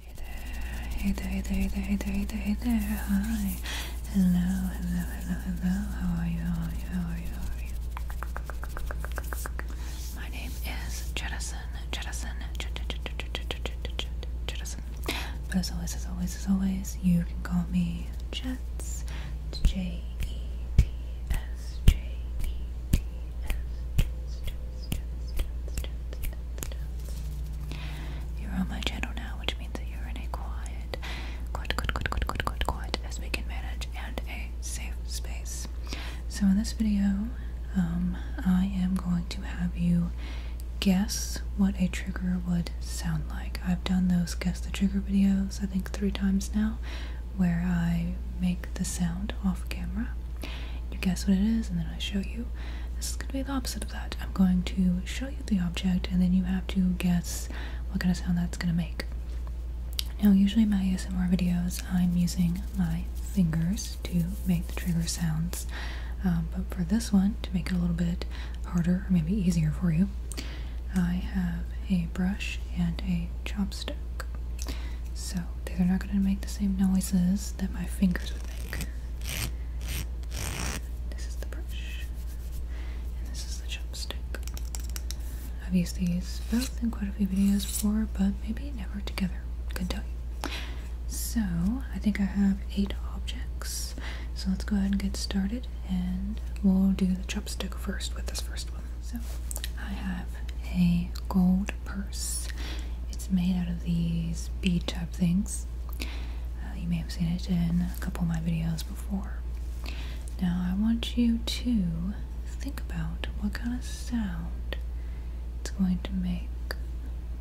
Hey there, hey there, hey there, hey there, hey there, hi. Hello, hello, hello, hello. How are you? How are you? How are you? My name is Jettison, Jettison, Jettison. as always, as always, as always, you can call me Jets. J E T S, J E T S, you're on my channel now, which means that you're in a quiet, quiet, quiet, quiet, quiet, quiet, as we can manage and a safe space. So in this video, um, I am going to have you guess what a trigger would sound like. I've done those guess the trigger videos, I think three times now, where I make the sound off camera. You guess what it is, and then I show you. This is going to be the opposite of that. I'm going to show you the object, and then you have to guess what kind of sound that's going to make. Now, usually in my ASMR videos, I'm using my fingers to make the trigger sounds. Um, but for this one, to make it a little bit harder, or maybe easier for you, I have a brush and a chopstick. So, they're not going to make the same noises that my fingers would make. This is the brush. And this is the chopstick. I've used these both in quite a few videos before, but maybe never together. Couldn't tell you. So, I think I have eight objects. So let's go ahead and get started, and we'll do the chopstick first with this first one. So, I have a gold purse. It's made out of these bead type things. Uh, you may have seen it in a couple of my videos before. Now, I want you to think about what kind of sound it's going to make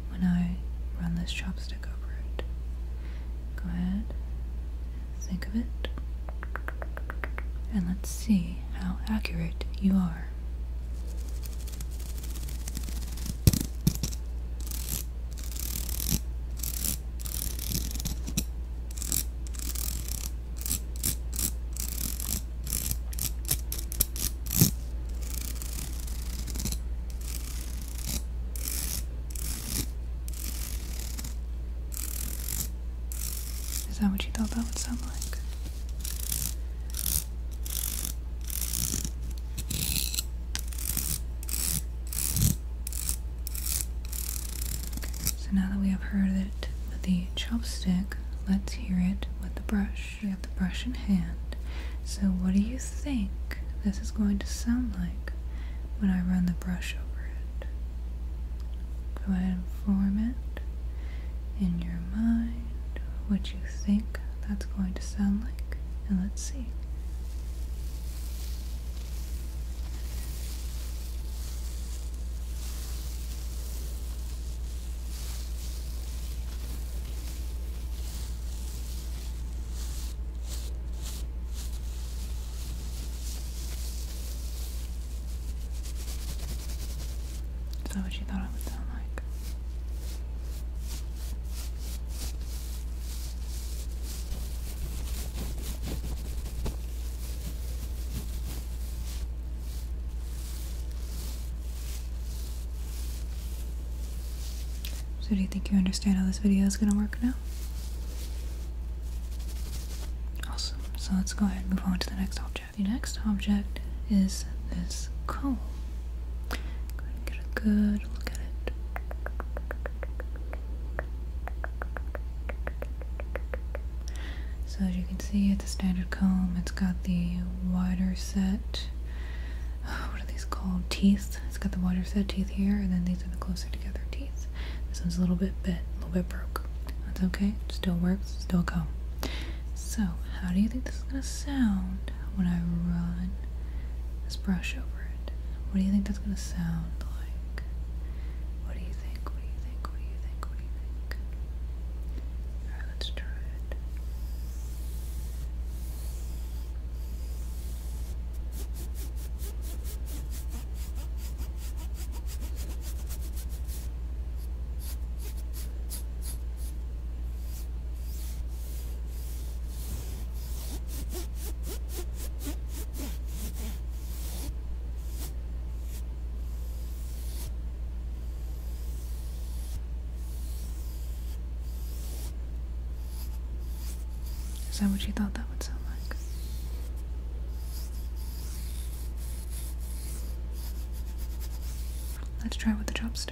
when I run this chopstick over it. Go ahead, think of it, and let's see how accurate you are. Is that what you thought that would sound like? So now that we have heard it with the chopstick, let's hear it with the brush. We have the brush in hand. So what do you think this is going to sound like when I run the brush over it? Go ahead and form it in your mind what you think that's going to sound like. And let's see. Is that what you thought it would sound like? So do you think you understand how this video is going to work now? Awesome. So let's go ahead and move on to the next object. The next object is this cone get a good look at it. So as you can see, it's a standard comb. It's got the wider set. what are these called? Teeth. It's got the wider set teeth here, and then these are the closer together teeth. This one's a little bit bent, a little bit broke. That's okay. still works. Still a comb. So, how do you think this is gonna sound when I run this brush over it. What do you think that's gonna sound like? What do you think? What do you think? What do you think? What do you think? Alright, let's try it. Is that what you thought that would sound like? Let's try with the chopsticks.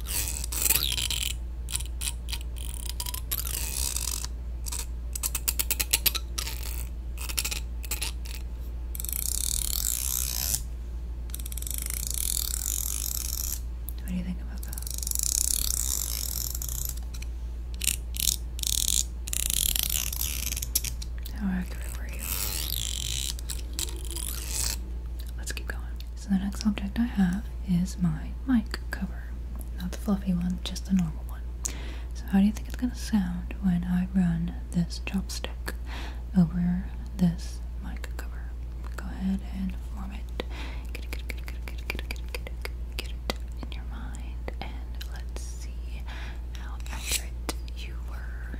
What do you think about that? How accurate were you? Let's keep going. So the next object I have is my mic cover. Not the fluffy one, just the normal one. So how do you think it's gonna sound when I run this chopstick over this mic cover? Go ahead and form it. in your mind, and let's see how accurate you were.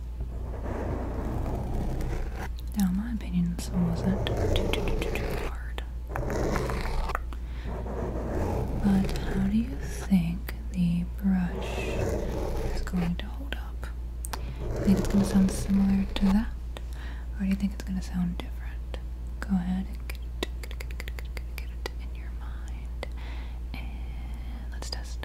Now, in my opinion, this wasn't too, too, too, too hard. But how do you think the brush is going to hold up? Do you think it's going to sound similar to that? Or do you think it's going to sound different? Go ahead and get it in your mind. And let's test.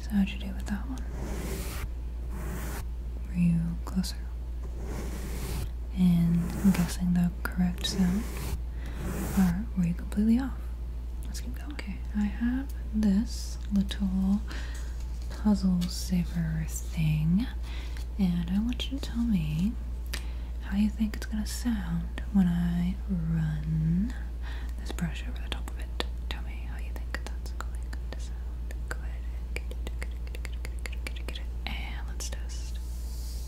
So, how'd you do with that one? Were you closer? And I'm guessing the correct sound or were you completely off? Let's keep going. Okay, I have this little puzzle saver thing, and I want you to tell me how you think it's gonna sound when I run this brush over the top of it. Tell me how you think that's going to sound. Go ahead and get it, get it, get it, get it, get it, get it, and let's test.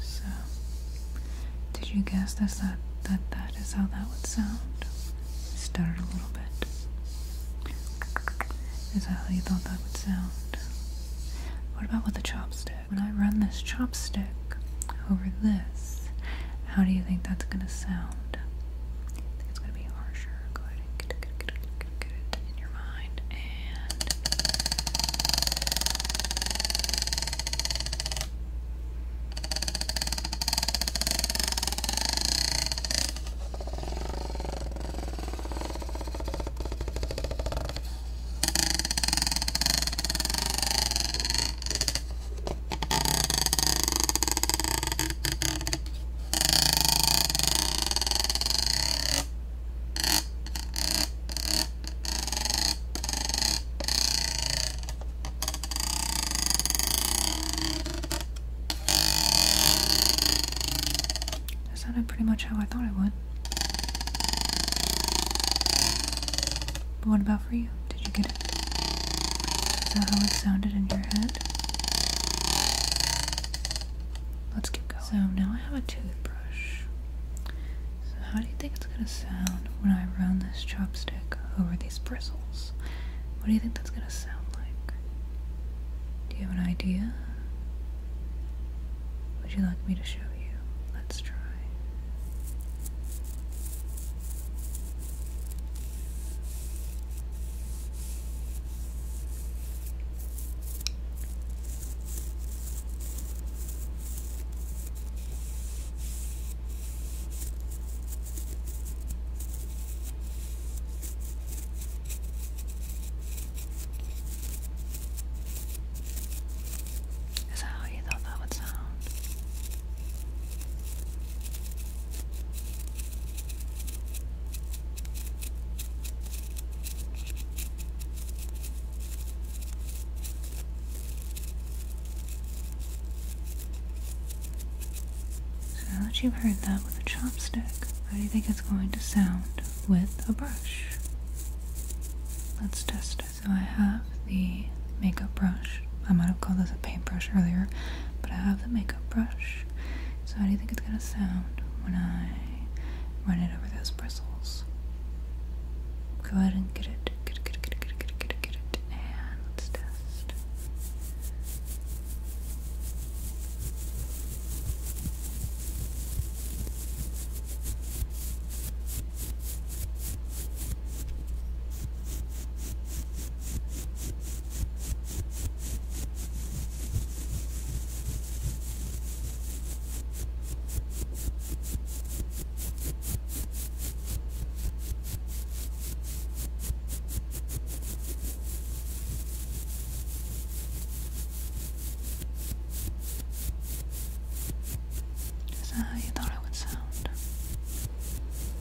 So, did you guess this, that, that that is how that would sound? Stutter a little bit. Is that how you thought that would sound? What about with the chopstick? When I run this chopstick over this, how do you think that's gonna sound? sound. I it's gonna be harsher. Go ahead get it, in your mind. That sounded pretty much how I thought it would. But what about for you? Did you get it? Is that how it sounded in your head? Let's keep going. So now I have a toothbrush. So how do you think it's gonna sound when I run this chopstick over these bristles? What do you think that's gonna sound like? Do you have an idea? Would you like me to show you? Let's try. Is that how you thought that would sound? So now you've heard that with a chopstick, how do you think it's going to sound with a brush? Let's test So I have the makeup brush. I might have called this a paintbrush earlier but I have the makeup brush. So how do you think it's gonna sound when I run it over those bristles? Go ahead and get it, get it, get it, get it, get it, get it, get it, and let's test. Is that how you thought it would sound? Okay, doing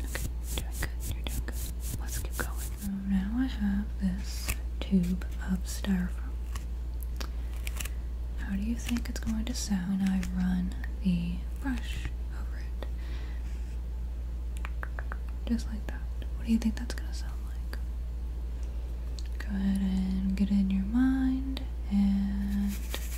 good, you're doing good. Let's keep going. So now I have this tube of styrofoam. How do you think it's going to sound I run the brush over it? Just like that. What do you think that's going to sound like? Go ahead and get in your mind and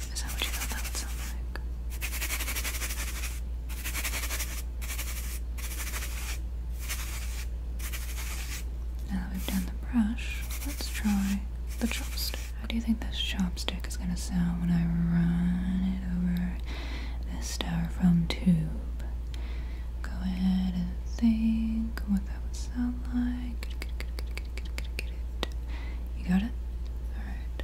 Is that what you thought that would sound like? Now that we've done the brush, let's try the chopstick. How do you think this chopstick is going to sound when I run it over this styrofoam tube? Go ahead and think what that would sound like. You got it? Alright.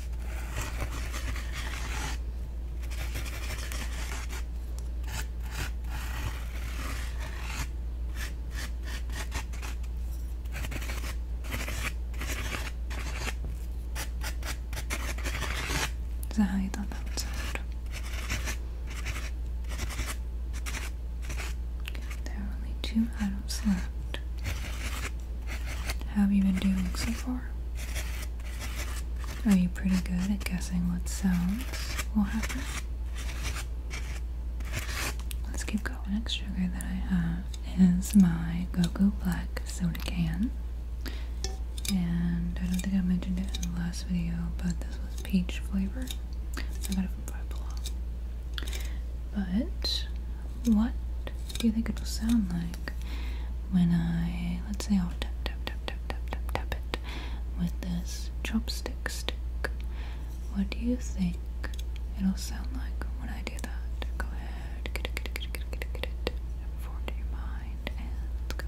Is that how you thought that would sound? There are only two items left. How have you been doing so far? Are you pretty good at guessing what sounds will happen? Let's keep going. next sugar that I have is my Gogo Black soda can. And I don't think I mentioned it in the last video, but this was peach flavor. I got it from Five Below. But what do you think it will sound like when I let's say I'll tap tap tap tap tap tap tap it with this chopstick stick. What do you think it'll sound like when I do that? Go ahead, get it, get it, get it, get it, get it, get it. Forward to your mind and let's go.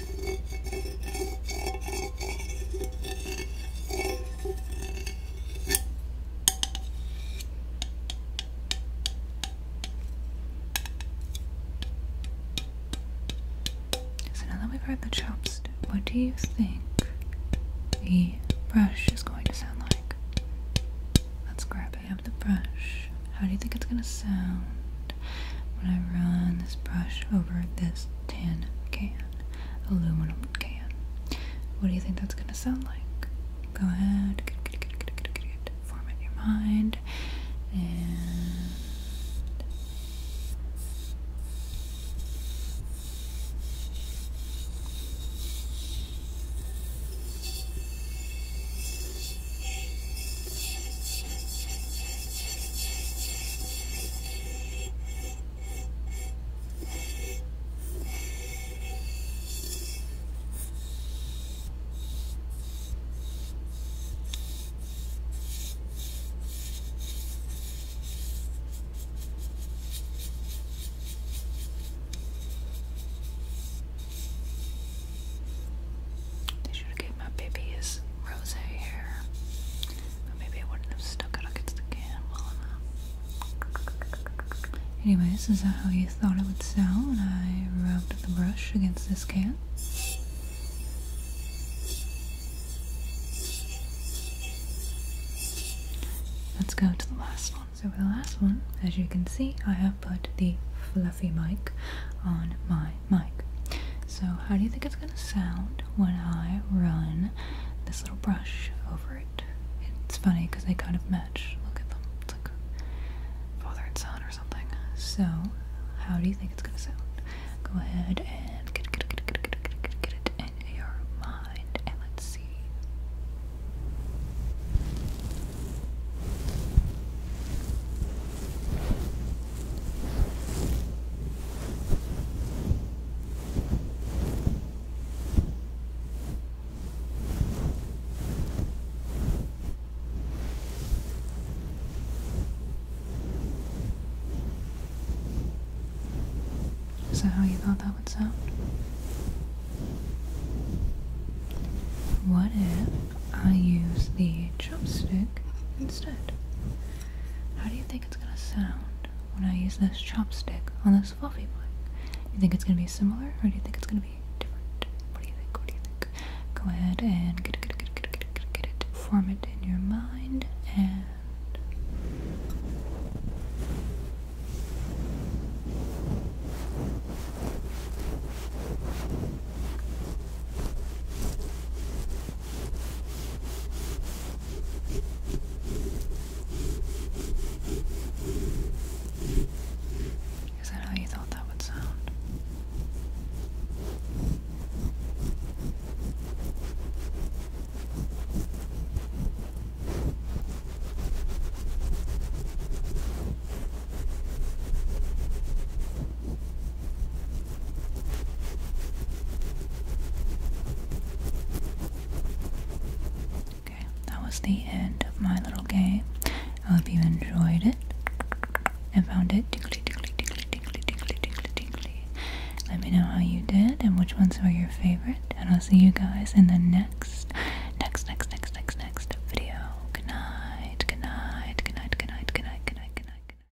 So now that we've heard the chopstick, what do you think the brush is going to sound like? Let's grab it up the brush. How do you think it's going to sound? that. i run this brush over this tin can, aluminum can. What do you think that's gonna sound like? Go ahead, Form it in your mind, and Deixa eu jogar my baby is rose hair. But maybe I wouldn't have stuck it against the can Anyways, is that how you thought it would sound I rubbed the brush against this can? Let's go to the last one. So for the last one, as you can see, I have put the fluffy mic on my mic. So how do you think it's gonna sound when I run this little brush over it? It's funny because they kind of match. Look at them. It's like father and son or something. So how do you think it's gonna sound? Go ahead and get it in your mind, and let's see. Is that how you thought that would sound? What if I use the chopstick instead? How do you think it's gonna sound when I use this chopstick on this fluffy mic? You think it's gonna be similar, or do you think it's gonna be different? What do you think? What do you think? Go ahead and get it, get it, get it, get it, get it, get it. Form it in your mind and. Is that how you thought that would sound? Okay, that was the end of my little game. I hope you enjoyed it and found it tickly, tickly, tickly, tickly, tickly, tickly, tickly. Let me know how you did and which ones were your favorite, and I'll see you guys in the next, next, next, next, next, next video. Good night, good night, good night, good night,